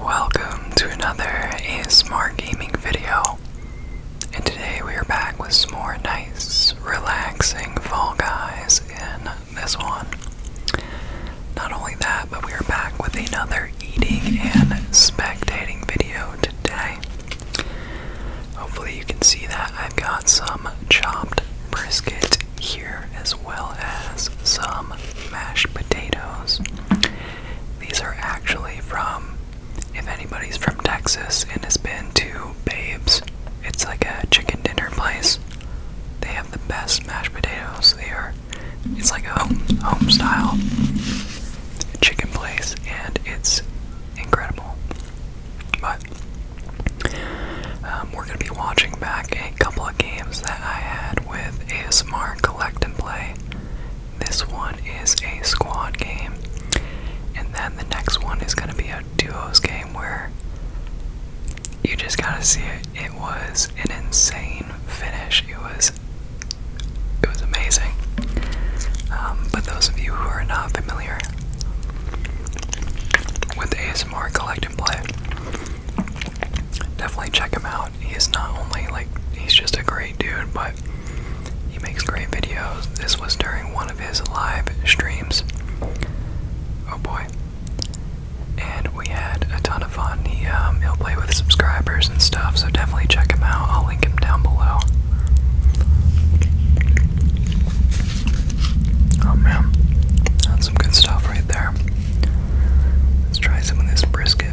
Welcome to another ASMR gaming video, and today we are back with some more nice, relaxing Fall Guys in this one. Not only that, but we are back with another eating and spectating video today. Hopefully, you can see that I've got some chopped brisket here as well as some mashed potatoes. These are actually from, if anybody's from Texas and has been to Babes, it's like a chicken dinner place. They have the best mashed potatoes. They are, it's like a home, home style chicken place, and it's incredible. But um, we're going to be watching back a couple of games that I had with ASMR Collect and Play. This one is a squad game, and then the next one is going to be a duos game where you just gotta see it. It was an insane finish. It was, it was amazing. Um, but those of you who are not familiar with ASMR Collect and Play, definitely check him out. He's not only like he's just a great dude, but he makes great videos. This was during one of his live streams. Oh boy. And we had a ton of fun. He um, he'll play with subscribers and stuff, so definitely check him out. I'll link him down below. Oh man, some good stuff right there. Let's try some of this brisket.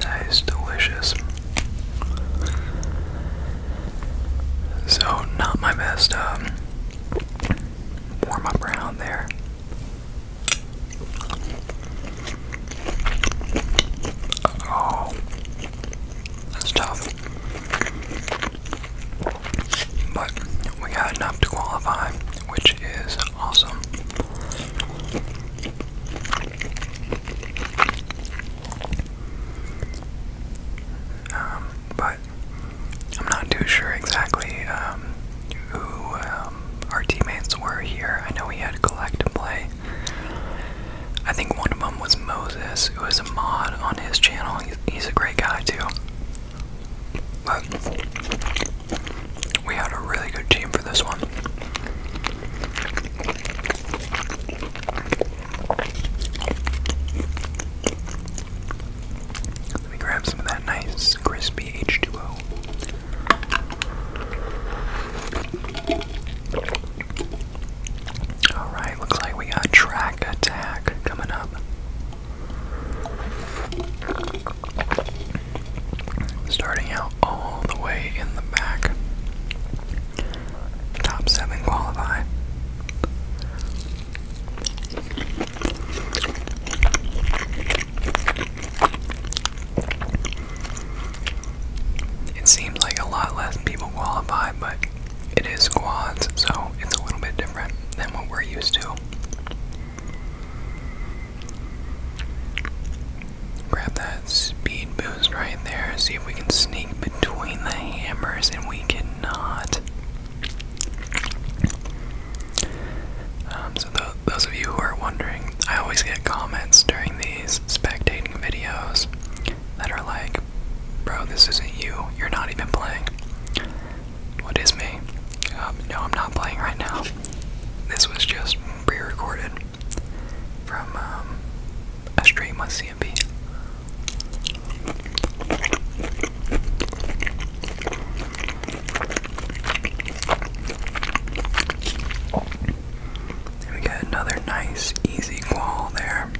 That is delicious. So, not my best um, warm up around there. Oh, that's tough. But we got enough to qualify, which is awesome. Um, I'm not too sure exactly um, who um, our teammates were here. I know we had collect and play. I think one of them was Moses, who is a mod on his channel. He's, he's a great guy too. But we had a really good team for this one. Let me grab some of that nice crispy H2O. Alright, looks like we got track attack coming up. Starting out all the way in the back. Top seven qualify. It seems like a lot less people qualify, but it is squads, so it's a little bit different than what we're used to. Grab that speed boost right there, see if we can sneak between the hammers, and we cannot. Um, so, those of you who are wondering, I always get comments during these spectating videos that are like, Bro, this isn't you. You're not even playing. What is me? Um, no, I'm not playing right now. This was just pre recorded from um, a stream on CMP we got another nice, easy wall there.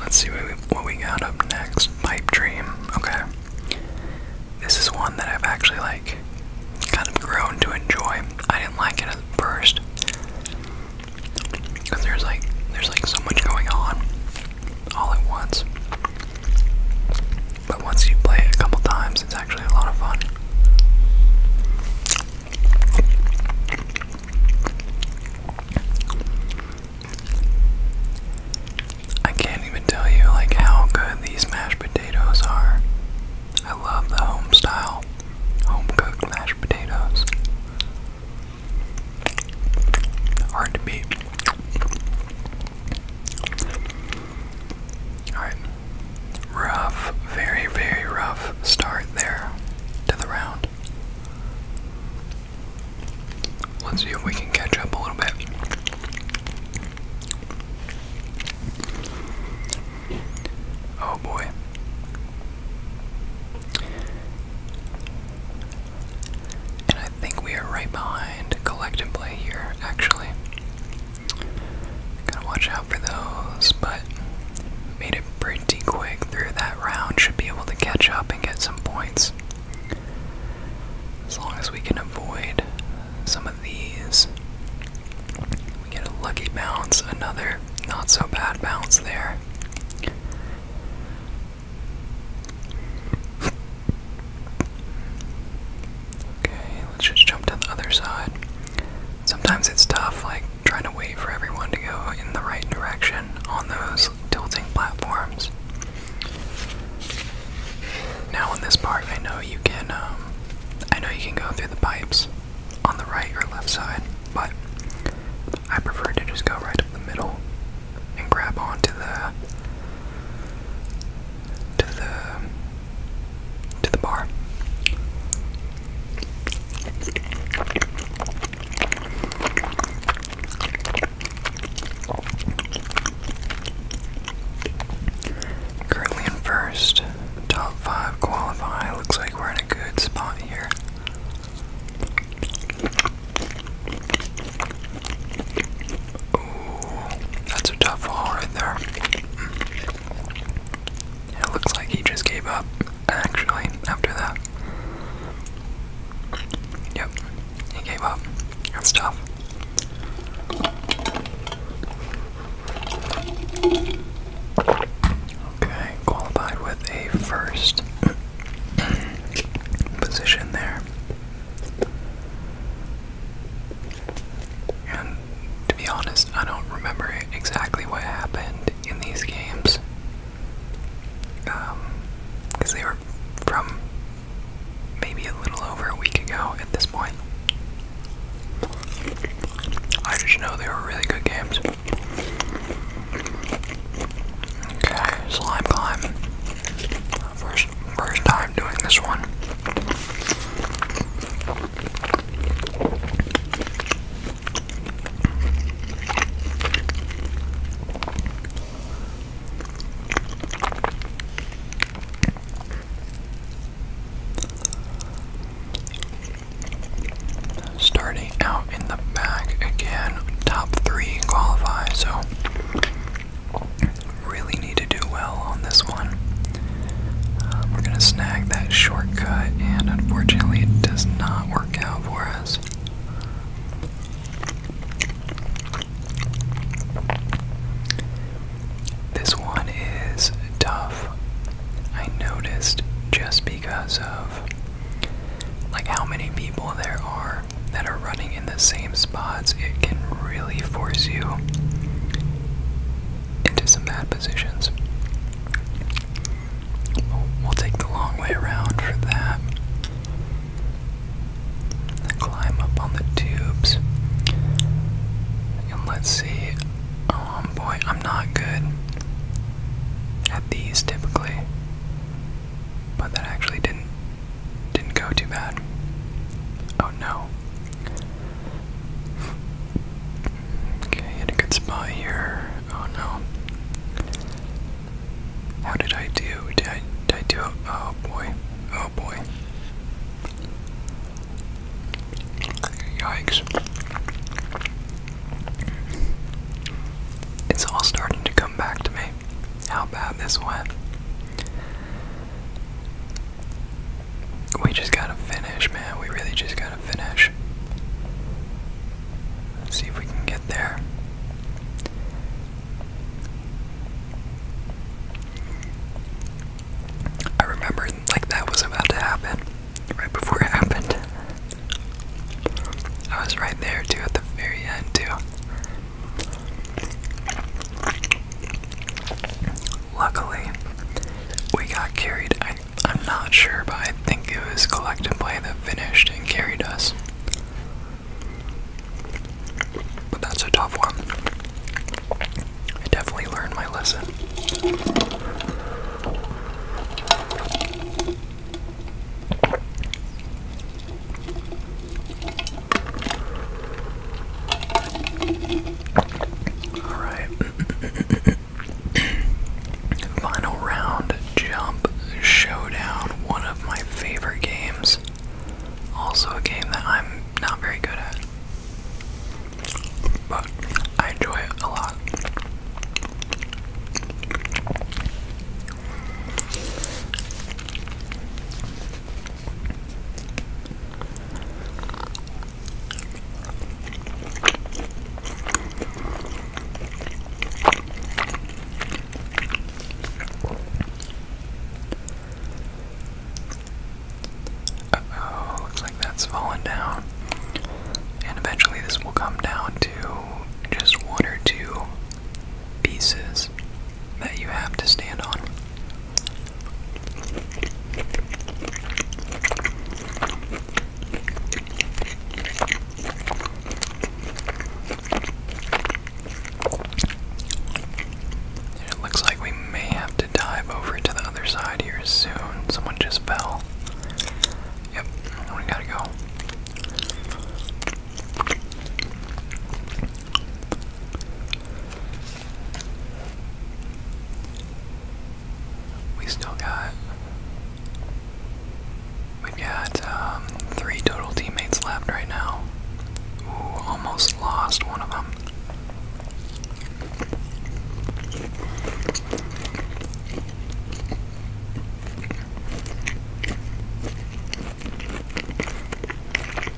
Let's see what we, got up next. Pipe Dream. Okay. This is one that I've actually like kind of grown to enjoy. I didn't like it at first. Cause there's like there's like so much going on all at once. But once you play it a couple times, it's actually a lot of fun. I can't even tell you like how good these mashed potatoes are. I love the home style, home cooked mashed potatoes. Hard to beat. Alright. Rough, very, very rough start there to the round. Let's see if we can catch up a little bit. Oh boy. And I think we are right behind collect here, actually. Gotta watch out for those, but made it pretty quick through that round. Should be able to catch up and get some points. As long as we can avoid some of these. We get a lucky bounce, another not so bad bounce there. Okay, let's just jump to the other side sometimes it's tough, like trying to wait for everyone to go in the right direction on those tilting platforms. Now on this part, I know you can, um, I know you can go through the pipes on the right or left side, but I prefer to just go right up the middle and grab onto the to the to the bar. Currently in first, top five qualify. Looks like we're in a good spot here. Ooh, that's a tough wall right there. It looks like he just gave up, actually, after that. Yep, he gave up. That's tough. Okay, qualified with a first position there. And to be honest, I don't remember exactly what happened in these games. Because um, they were from maybe a little over a week ago at this point. I just know they were really good games. Okay, slime climb. First, first time doing this one. Starting out in the back again, top three qualify, so Really need to do well on this one. Um, we're going to snag that shortcut, and unfortunately, it does not work out for us. This one is tough. I noticed just because of like how many people there are that are running in the same spots, it can really force you into some bad positions. We'll, take the long way around for that. Climb up on the tubes. And let's see. Oh boy, I'm not good at these typically. But that actually didn't didn't go too bad. Oh no. Okay, had a good spot here. Oh no. How did I do? Did I, do Oh boy. Oh boy. Yikes. It's all starting to come back to me. How bad this went. We just gotta finish, man. We really just gotta finish. Let's see if we can get there. I remember like that was about to happen right before it happened. I was right there too at the very end too. Luckily, we got carried. I, am not sure, but I think it was collective play that finished and carried us. But that's a tough one. I definitely learned my lesson. Alright. Final round jump showdown, one of my favorite games. Also a game that I'm not very good at. But I enjoy it a lot oh, looks like that's fallen down. And eventually, this will come down to just one or two pieces that you have to stand on. It looks like we may have to dive over to the other side here soon. Someone just fell. Yep, we gotta go. We still got. We've got um, three total teammates left right now. almost lost one of them.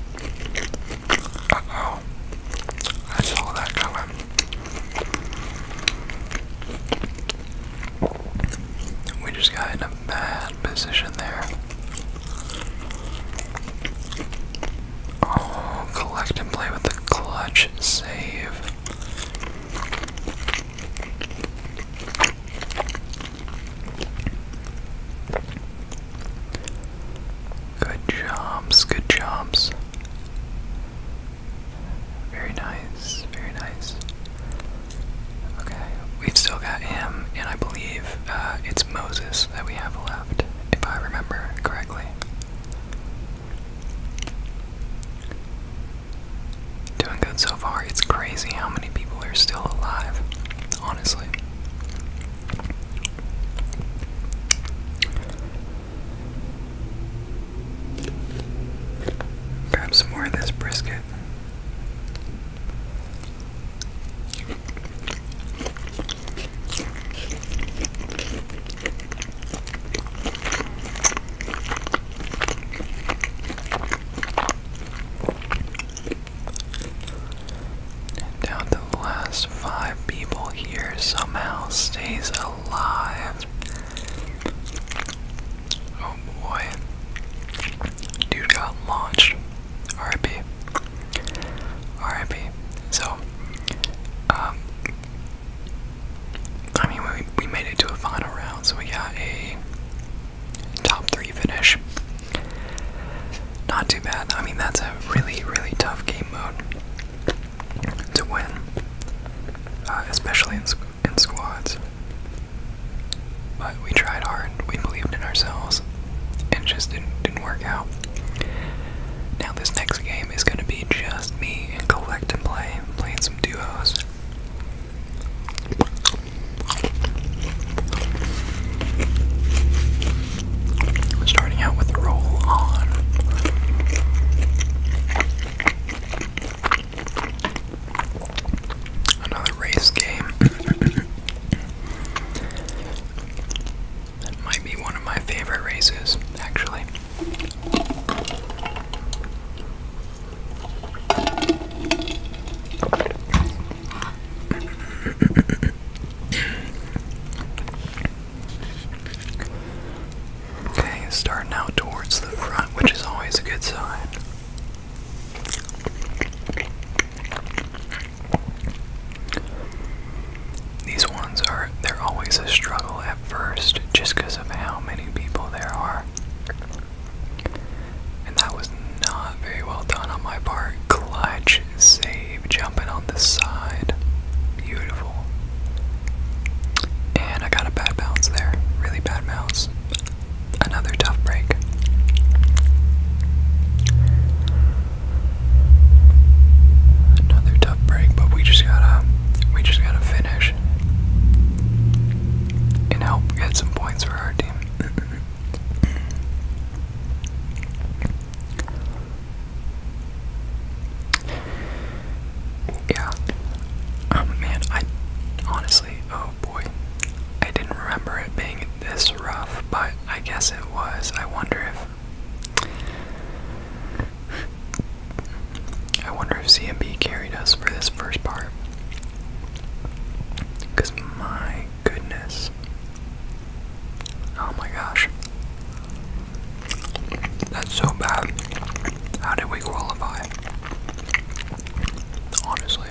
Uh oh. I saw that coming. We just got in a bad position there. Oh, collect and play with the clutch save. Good jobs, good jobs. Very nice, very nice. Okay, we've still got him, and I believe uh, it's Moses that we have left, if I remember correctly. Doing good so far. It's crazy how many people are still alive, honestly. Grab some more of this brisket. And the last five people here somehow stays alive. Oh boy. Dude got launched. RIP. So, um, I mean, we, we made it to a final round, so we got a top three finish. Not too bad. I mean, that's a really, really tough game mode to win, uh, especially in, squads. But we tried hard. We believed in ourselves. and just didn't work out. Now this next game is going to be just me and collect and play, playing some duos. Starting out with roll on. Another race game. that might be one of my favorite races, actually. Okay, starting out towards the front, which is always a good sign. These ones are, they're always a struggle at first just because of how many people there are. And that was not very well done on my part. Clutch save, jumping on the side. Beautiful. And I got a bad bounce there. Really bad bounce. Another tough break. Another tough break, but we just gotta we just gotta finish. And help get some points for our team. Yeah. Um, man, I honestly, oh boy, I didn't remember it being this rough, but I guess it was. I wonder if. I wonder if CMB carried us for this first part. Because my goodness. Oh my gosh. That's so bad. How did we qualify? Honestly.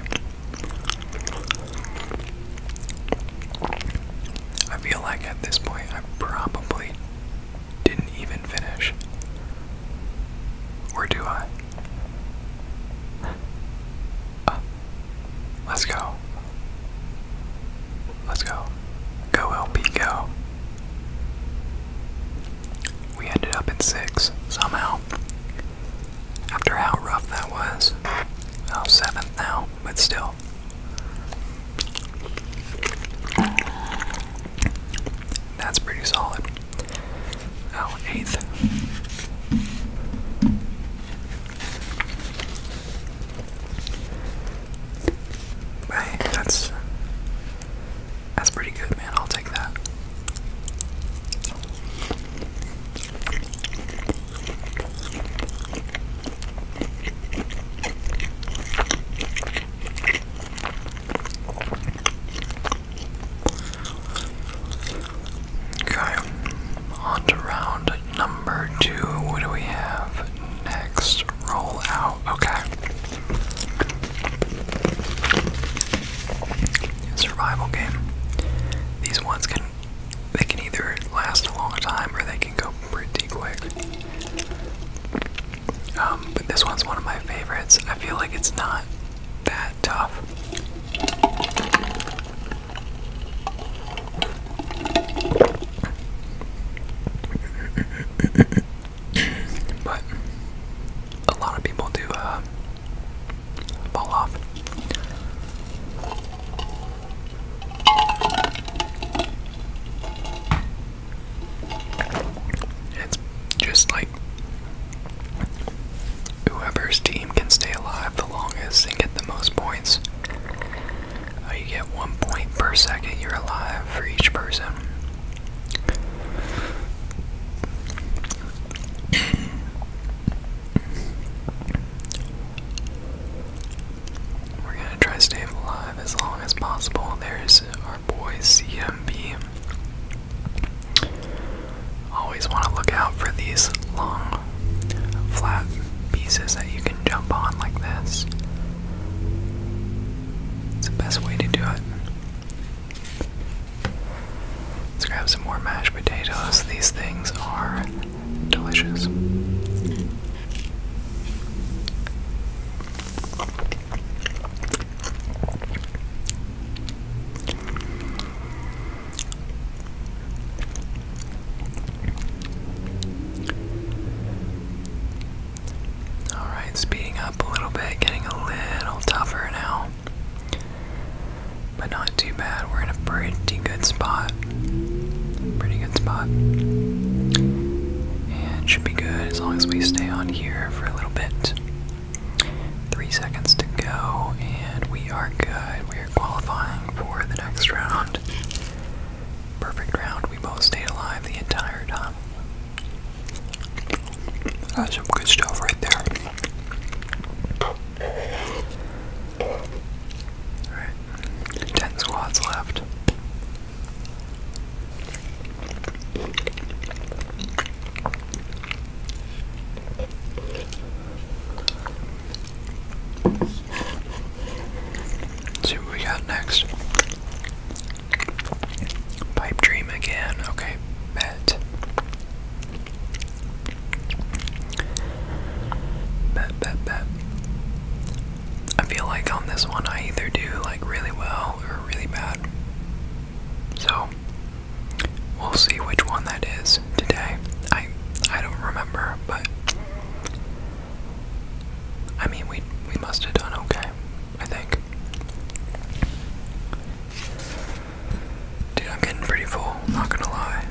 I feel like at this point I probably didn't even finish. Or do I? Uh, let's go. Let's go. Go, LP, go. We ended up in six somehow. After how rough that was. Oh, seventh now, but still. That's pretty solid. Oh, eighth. Hey, that's that's pretty good, man. I'll take that. Okay, on to round number two. What do we have next? Roll out. Okay. Survival game. These ones can they can either last a long time or they can go pretty quick. Um, but this one's one of my favorites. I feel like it's not that tough. but a lot of people do uh, fall off. It's just like whoever's team can stay alive the longest and get the most points. Uh, you get one point per second you're alive for each person. We're gonna try to stay alive as long as possible. There's our boy CMB. Always want to look out for these long, flat pieces that you can jump on like this. It's the best way to do it. Let's grab some more mashed potatoes. These things are delicious. Alright, speeding up a little bit, getting a little tougher now. But not too bad. We're in a pretty good spot. Pretty good spot. And should be good as long as we stay on here for a little bit. Three seconds to go, and we are good. We qualifying for the next round. Perfect round. We both stayed alive the entire time. That's some good stuff right there. 10 squads left. Let's see what we got next. Pipe dream again. Okay, bet. Bet, bet, bet. I feel like on this one I either do like really well or really bad. So We'll see which one that is today. I I don't remember, but I mean we we must have done okay, I think. Dude, I'm getting pretty full, not gonna lie.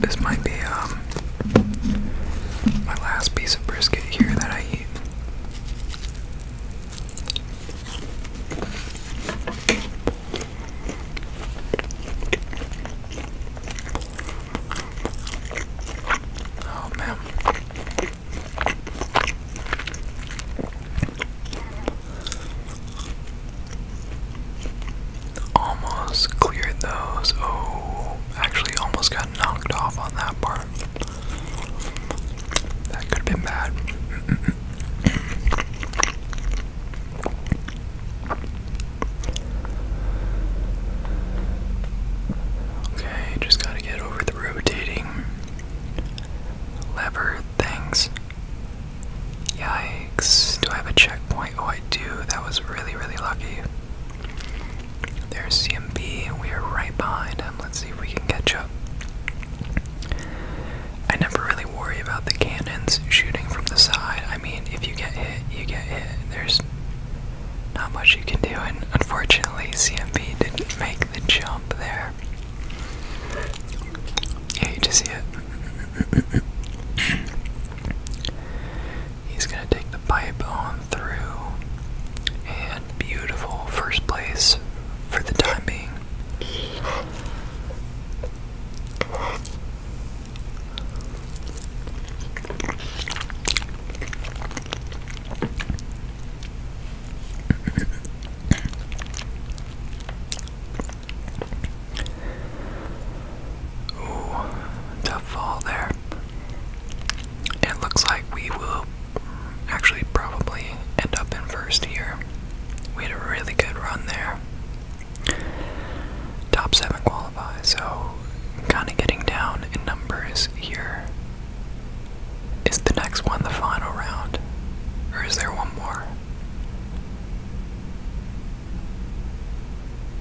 This might be um my last piece of brisket here that I eat. Oh man. Almost cleared those. Oh, actually, almost got knocked off on that part. That could have been bad. okay, just gotta get over the rotating lever things. Yikes. Do I have a checkpoint? Oh, I do. That was really, really lucky. There's CMB. We are right behind him. Let's see if we can catch up. I never really worry about the cannons shooting from the side. I mean, if you get hit, you get hit. There's not much you can do, and unfortunately, CMB didn't make the jump there. I hate to see it. He's gonna take the pipe on through, and beautiful first place for the time being. Ooh, tough fall there it looks like we will actually probably end up in first here. We had a really good run there. Top 7 qualify, so kind of getting down in numbers here. Is the next one the final round? Or is there one more?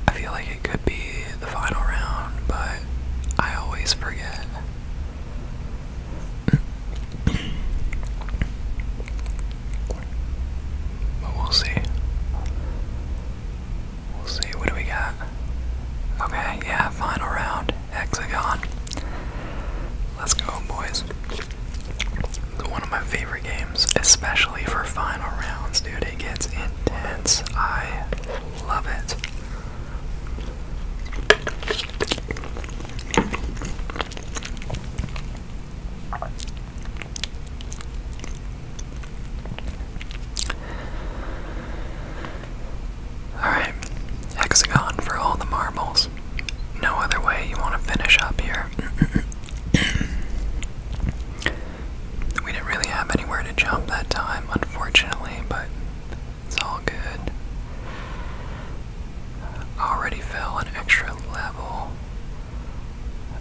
I feel like it could be the final round, but I always forget. but we'll see. We'll see. What do we got? Okay, yeah, final round. Hexagon. Let's go, boys. One of my favorite games, especially for final rounds, dude. It gets intense. I love it. Alright, hexagon for all the marbles. No other way you want to finish up here. we didn't really have anywhere to jump that time, unfortunately, but it's all good. Already fell an extra level.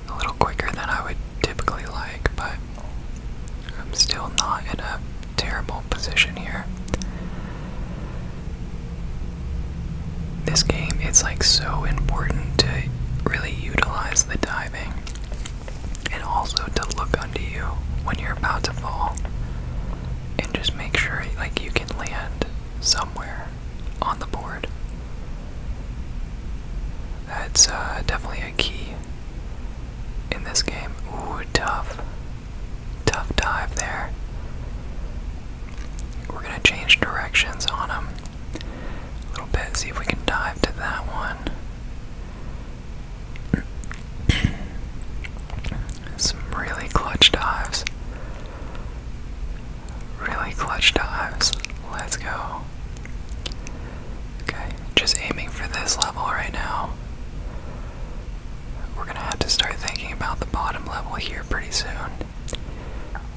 A little quicker than I would typically like, but I'm still not in a terrible position here. This game, it's like so important to really utilize the diving and also to look unto you when you're about to fall and just make sure like you can land somewhere on the board that's uh, definitely a key in this game ooh tough tough dive there we're gonna change directions on him a little bit see if we can dive to that one some really clutch dives. Really clutch dives. Let's go. Okay, just aiming for this level right now. We're gonna have to start thinking about the bottom level here pretty soon.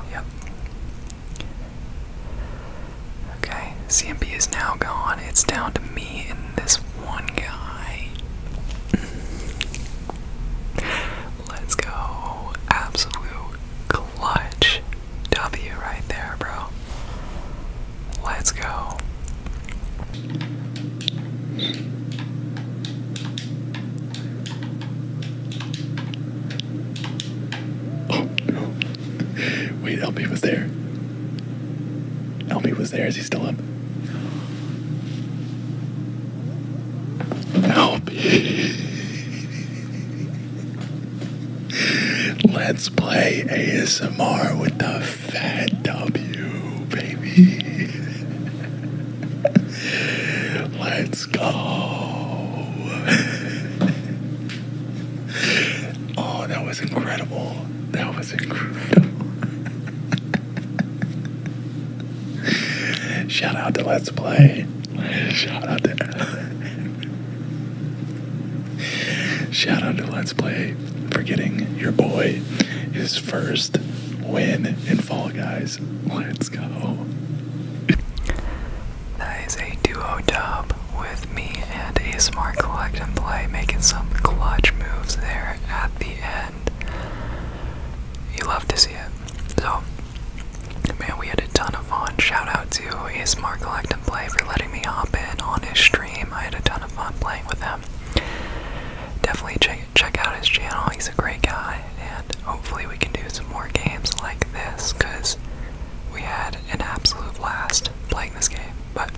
Yep. Okay, CMP is now gone. It's down to me and this one guy. Let's go. Absolute clutch W right there, bro. Let's go. Oh, no. Wait, Elmy was there. Elmy was there. Is he still up? Elmy. Let's play ASMR with the fat W, baby. Let's go. oh, that was incredible. That was incredible. Shout out to Let's Play. Shout out to Shout out to Let's Play for getting your boy his first win in Fall Guys. Let's go. That is a duo dub with me and a smart collect and play, making some clutch moves there at the end. You love to see it. So, man, we had a ton of fun. Shout out to a smart collect and play for letting me hop in on his stream. I had a ton of fun playing with him. Definitely check check out his channel. He's a great guy, and hopefully we can do some more games like this because we had an absolute blast playing this game. But